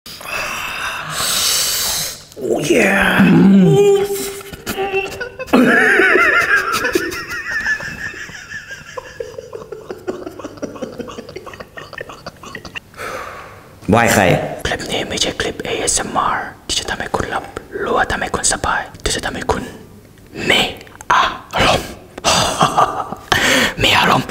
ว่ายใครคลิปนี้ไม่ใช่คลิป ASMR ที่จะทำให้คุณหลับหรือว่าทำให้คุณสบาย ที่จะทำให้คุณมีอารมณ์มีอารมณ์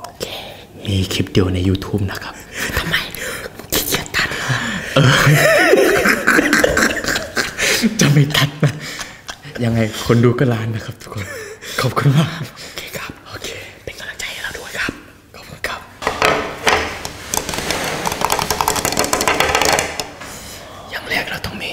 โอเค มีคลิปเดียวใน YouTube นะครับ ทำไมขี้เกียจตัดเออจะไม่ตัดนะ ยังไงคนดูก็ล้านนะครับทุกคน ขอบคุณมาก โอเคครับ โอเค เป็นกำลังใจให้เราด้วยครับ ขอบคุณครับย่งแรกเราต้องมี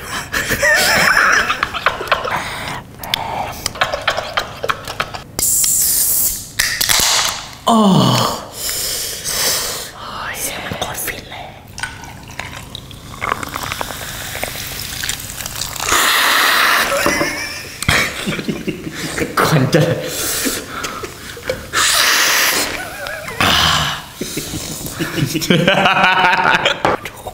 โอ้ยเสียงมันโคตรฟินเลยก่อนจะทุก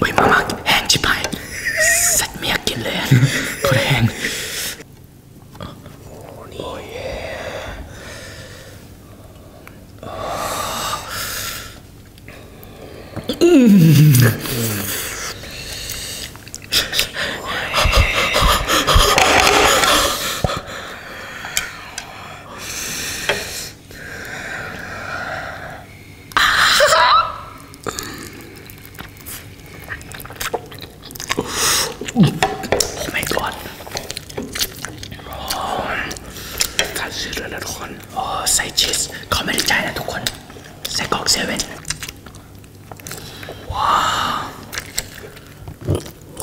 อุ้ยมากๆแห้งชิบหายสัตว์เมียกินเลยโคตแห้งโอ้ไม่กอดขาดซื้อเลยนะทุกคนโอ้ใส่ชีสเขาไม่ได้ใจนะทุกคนใส่กอกเซเว่นว้าว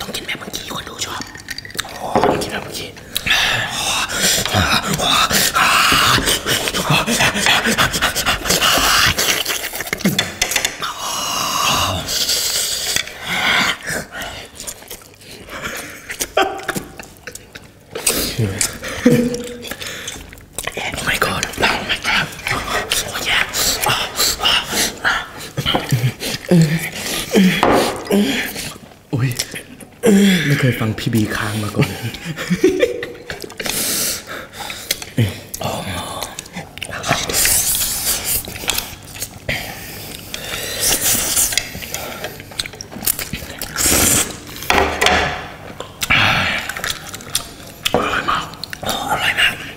ต้องกินแบบเมื่อกี้คนดูชอบโอ้ต้องกินแบบเมื่อกี้โอ้ my god โอ้ my god โอ้ยอุ้ย ไม่เคยฟังพี่บีค้างมาก่อนอร่อยมากอร่อยมาก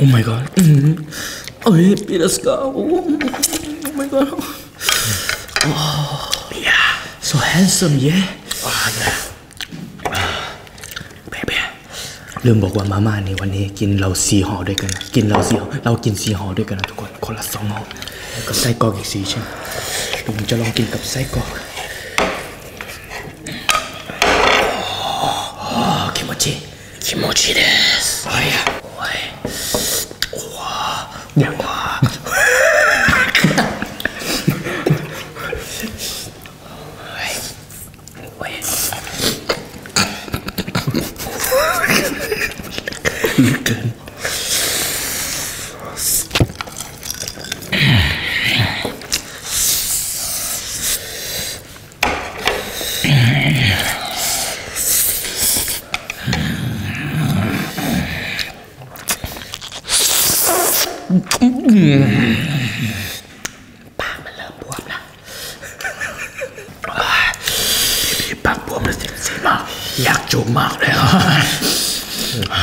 Oh my god. Oi, Piraskau. Oh my god. Oh, yeah. So handsome, yeah. Oh, yeah. เริ่มบอกว่ามาม่าในวันนี้กินเราสีห่อด้วยกันกินเราสี่ห่อเรากินสีห่อด้วยกันนะทุกคนคนละสองห่อแล้วก็ไส้กรอกอีกสี่ชิ้นผมจะลองกินกับไส้กรอก気持ちいい気持ちいいですおいおいおわおわปากมันเริ่มบวมแล้วพี่ปากบวมแล้วเจ็บมากอยากจูบมากเลยอ่ะ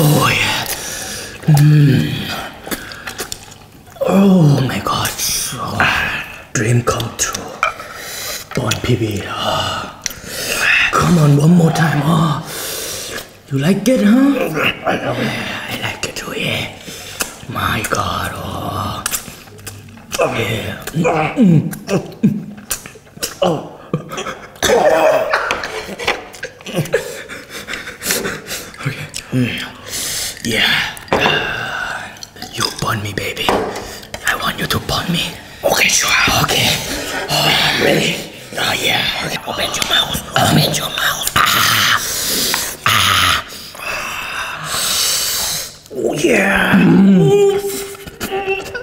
Oh yeah. Hmm. Oh my God. dream come true. Bon PB. Ah. Come on, one more time. Oh. You like it, huh? Yeah, I like it too. Oh, yeah. My God. Oh. Yeah. Mm, mm, mm, Oh. okay. Yeah. you bond me, baby. I want you to bond me. Okay, sure. Okay. Oh, I'm ready. Oh, yeah. Okay. Open your mouth. Open your mouth. Ah. Ah. Oh, yeah. Mm. Mm.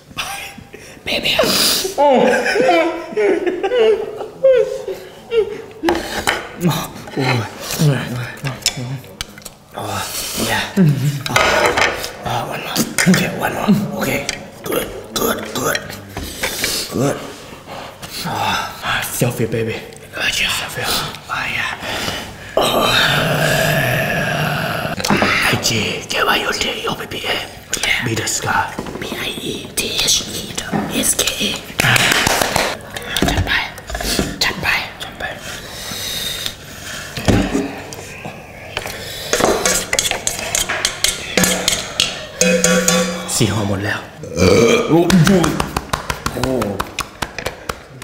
Baby. Oh, yeah. Oh, uh, one more. Okay, one more. Okay. Good, good, good. Good. Oh. Selfie, baby. Good job. Selfie. Oh, yeah. ไอจีเจวายโยเทโยบีบีเอบีเดสกาบีไอเอทีเอชอีดเอสเคเอจัดไปจัดไปจัดไปสี่ห่อหมดแล้วโอ้โห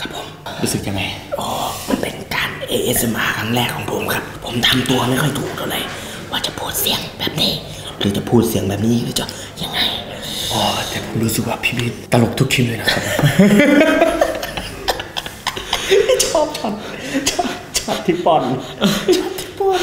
ครับผมรู้สึกยังไงอ๋อมันเป็นการ ASMR ครั้งแรกของผมครับ ผมทำตัวไม่ค่อยถูกเท่าไหร่ว่าจะพูดเสียงแบบนี้ หรือจะพูดเสียงแบบนี้หรือจะยังไงอ๋อแต่ผมรู้สึกว่าพี่พี่ตลกทุกคลิปเลยนะครับชอบชอบชอบชอบที่ปอนชอบที่ปอน